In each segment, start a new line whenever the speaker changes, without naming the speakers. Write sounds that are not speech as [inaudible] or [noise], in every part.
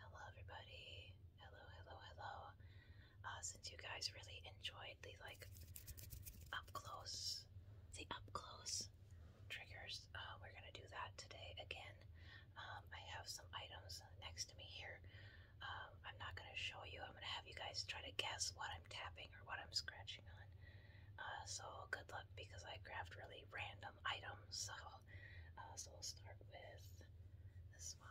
Hello, everybody. Hello, hello, hello. Uh, since you guys really enjoyed the like up close, the up close triggers, uh, we're gonna do that today again. Um, I have some items next to me here. Um, I'm not gonna show you. I'm gonna have you guys try to guess what I'm tapping or what I'm scratching on. Uh, so good luck because I grabbed really random items. So uh, so we'll start with this one.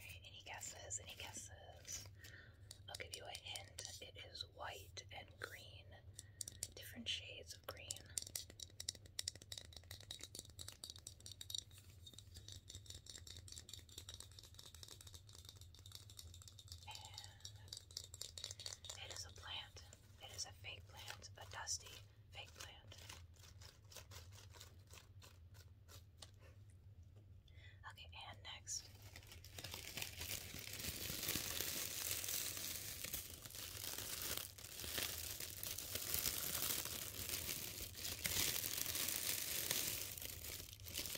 Alright, any guesses? Any guesses? I'll give you a hint. It is white and green. Different shades of green it is a plant. It is a fake plant, a dusty fake plant. Okay, and next.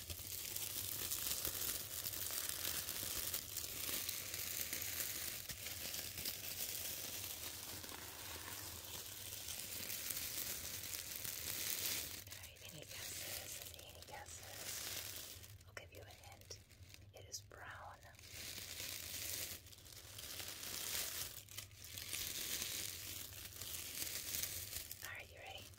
Right, any guesses? Any guesses? I'll give you a hint. It is brown. Alright, you ready?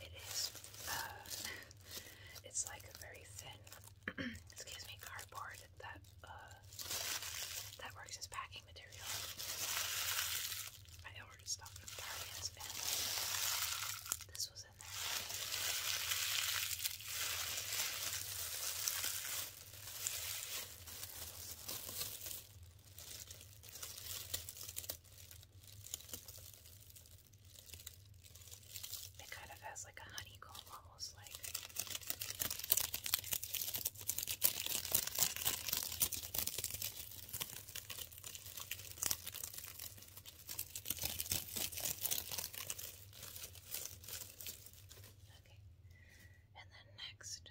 It is, uh, it's like a very thin, [clears throat] excuse me, cardboard that, uh, that works as packing material. I ordered stuff from Target's and this was in there. It kind of has like a honeycomb almost like. And then next.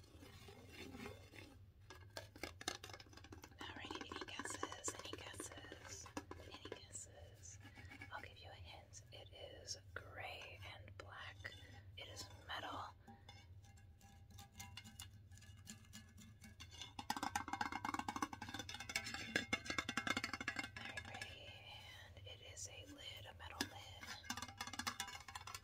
Alright, any guesses? Any guesses? Any guesses? I'll give you a hint. It is gray and black. It is metal. Very pretty. And it is a lid, a metal lid.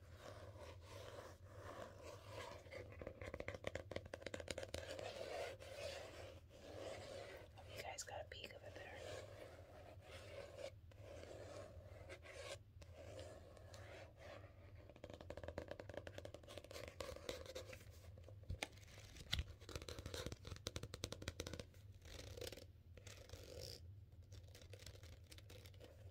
Oh, you guys got a peek of it there.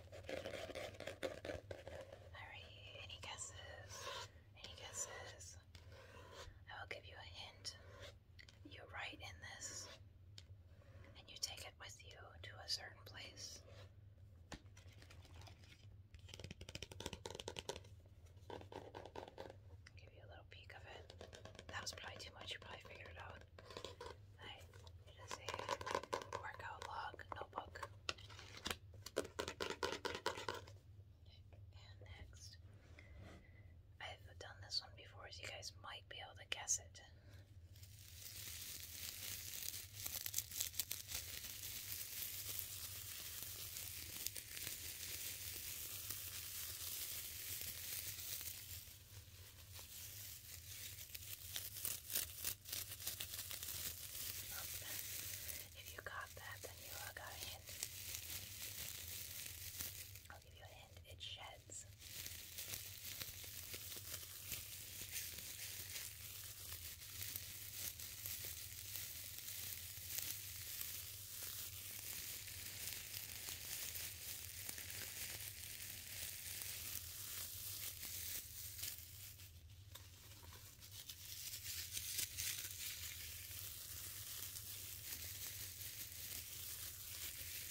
Alright, any guesses? Any guesses? I will give you a hint. You write in this, and you take it with you to a certain place. give you a little peek of it. That was probably too much. You probably figured it out. Right, it is a workout log notebook. And next, I've done this one before, as you guys might be able to guess it. If you got that, then you uh, got a hint. I'll give you a hint. It sheds. Okay.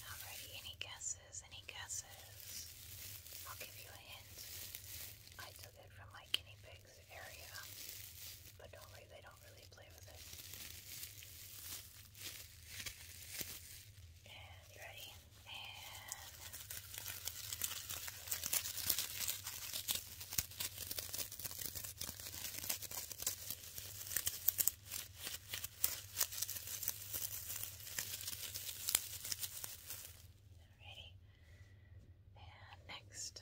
Alrighty, any guesses? Any guesses? I'll give you a hint. I took it from my guinea pigs area, but don't worry, they don't really play with it. And you ready? ready? And next.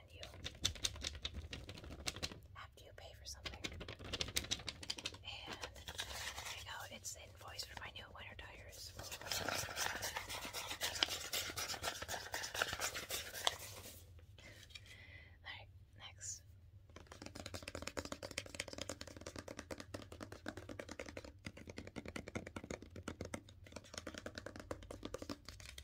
given you after you pay for something. And there you go, it's invoice for my new winter tires. Alright, next.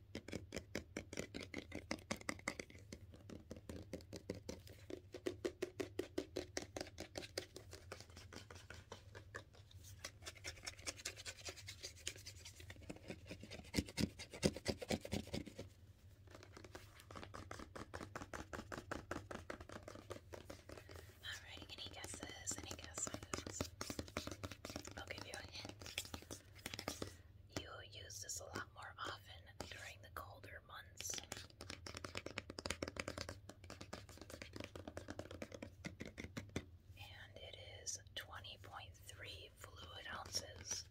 Alright, any guesses? Any guesses? I'll give you a hint. You use this a lot more often during the colder months. And it is 20.3 fluid ounces.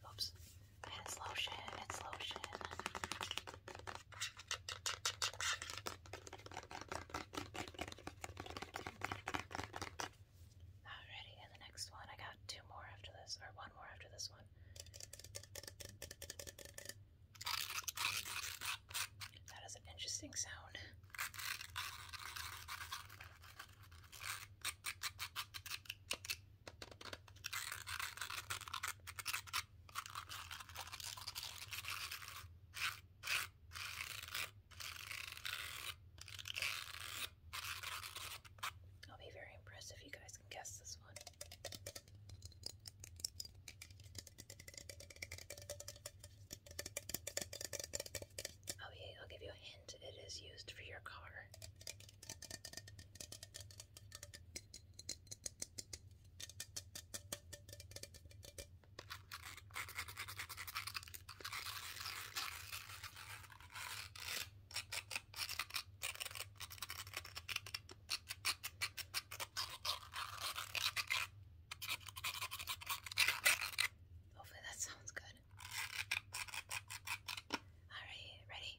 And oops, it's lotion, it's lotion. Alrighty, and the next one, I got two more after this, or one more after this one. That is an interesting sound. I'll be very impressed if you guys can guess this one. Oh I'll give you a hint. It is used for your car. Hopefully that sounds good. Alright, ready?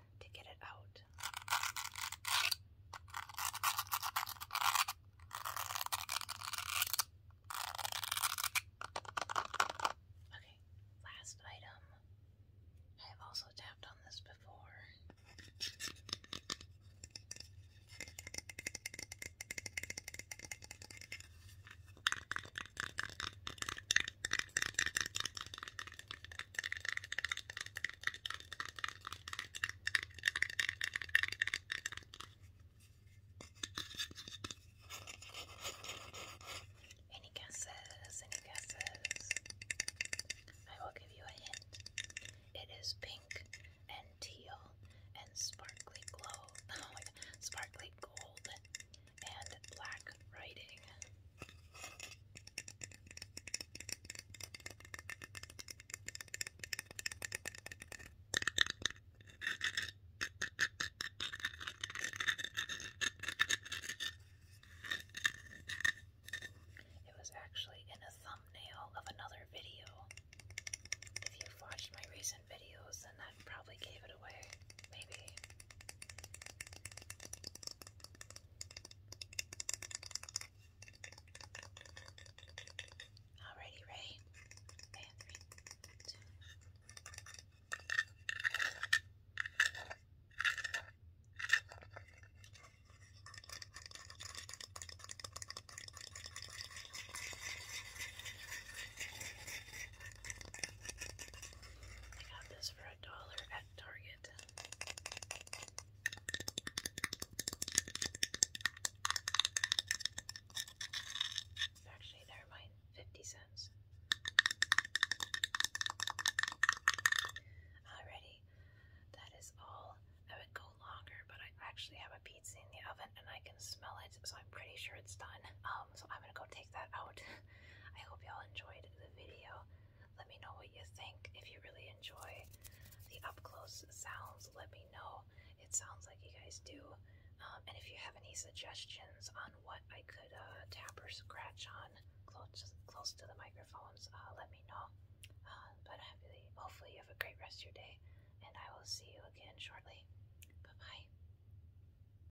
Okay, last item. I have also tapped on this before. Any guesses? Any guesses? I will give you a hint. It is pink and teal and sparkly glow. [laughs] Oh my sparkly gold and black writing. It was actually in a thumbnail of another video. If you've watched my recent videos, then that probably gave it away. Maybe. Alrighty, Ray. Okay, I got this dollar at Target. Actually, never mind, 50 cents. Alrighty, that is all. I would go longer, but I actually have a pizza in the oven and I can smell it, so I'm pretty sure it's done. Um, um, so I'm gonna go take that out. [laughs] I hope y'all enjoyed the video. Let me know what you think. If you really enjoy the up close sounds, let me know. It sounds like you guys do. Um, and if you have any suggestions on what I could uh, tap or scratch on close close to the microphones, uh, let me know. Uh, but hopefully, you have a great rest of your day, and I will see you again shortly. Bye bye.